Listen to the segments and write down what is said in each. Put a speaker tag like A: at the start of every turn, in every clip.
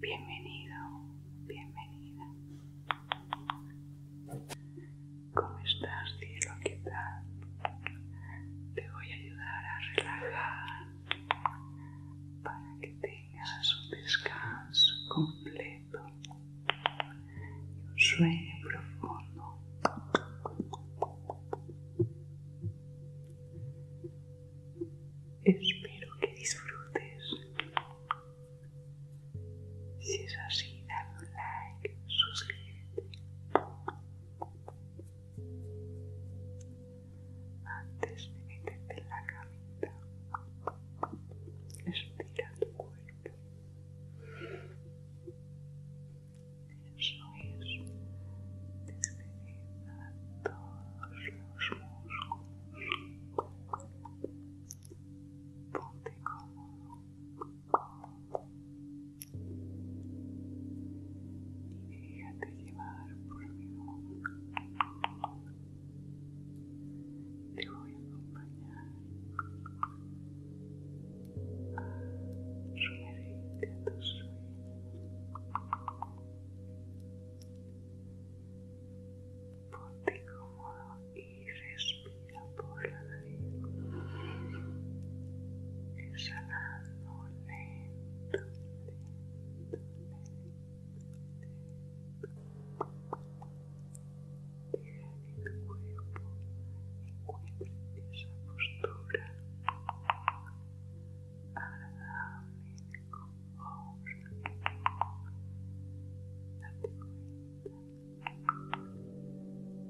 A: Bienvenido, bienvenida. ¿Cómo estás, cielo? ¿Qué tal? Te voy a ayudar a relajar para que tengas un descanso completo. Un sueño profundo. Espero que disfrutes. Si es así, dale un like, suscríbete. Antes de meterte en la camita, estira tu cuerpo. Eso es despegar todos los músculos. Ponte cómodo. Y déjate llevar por mi voz. Te voy a acompañar a sumergirte a tu sueño Ponte cómodo y respira por la nariz, exhalando lento, lento, lento, lento, lento. Deja que tu cuerpo encuentre esa postura agradable de confort. Date cuenta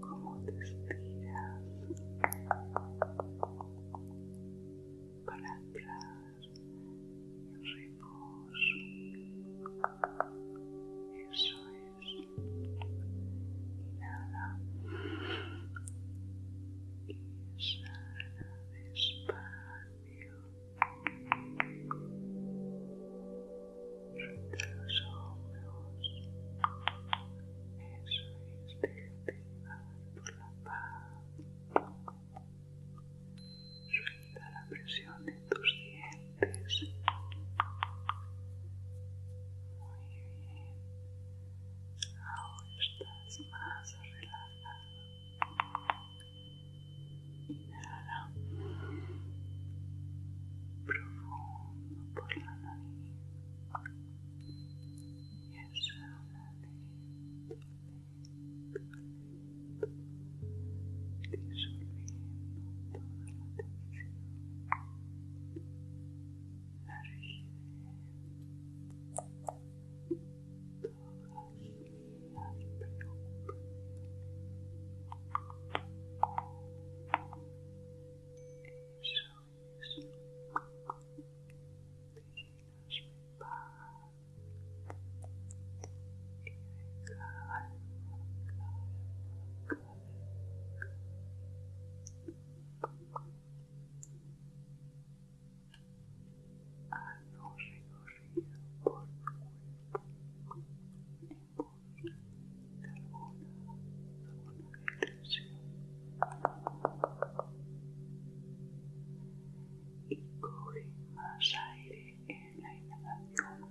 A: como te estiras para atrás eso es. Inhala. Exhala despacio. Suelta los hombros. Eso es. por la paz la presión de tus dientes. Muy bien. Ahora estás más relajado. Inhala. Profundo por la nariz. Y exhala disolviendo toda la tensión, la rigidez, todas las preocupaciones. Eso es te llenas de paz, calma, recorrido por tu cuerpo en busca de alguna y coge más aire en la inhalación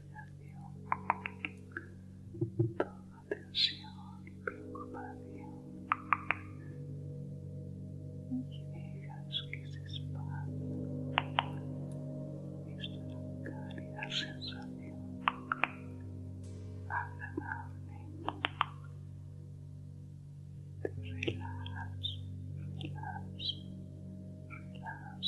A: indignación, toda tensión y preocupación. Y dejas que se espalden. Esta es una cálida sensación, agradable. Te relajas, relajas, relajas.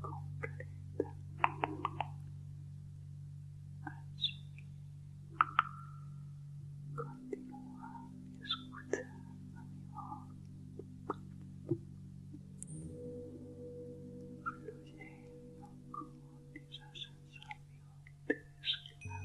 A: completa así continúa escuchando mi voz fluyendo con esa sensación de descanso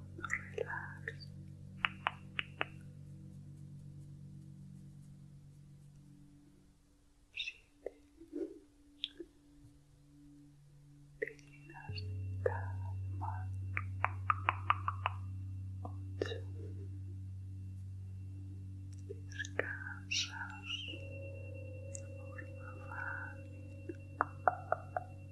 A: relax. Siete. Te calma. Ocho. Descansas de forma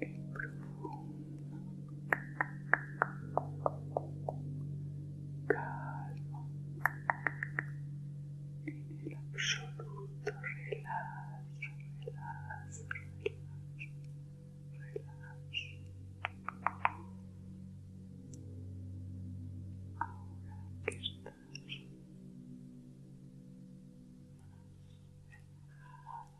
A: en profundo calmo en el absoluto relax relax relax relax ahora que estás más relajado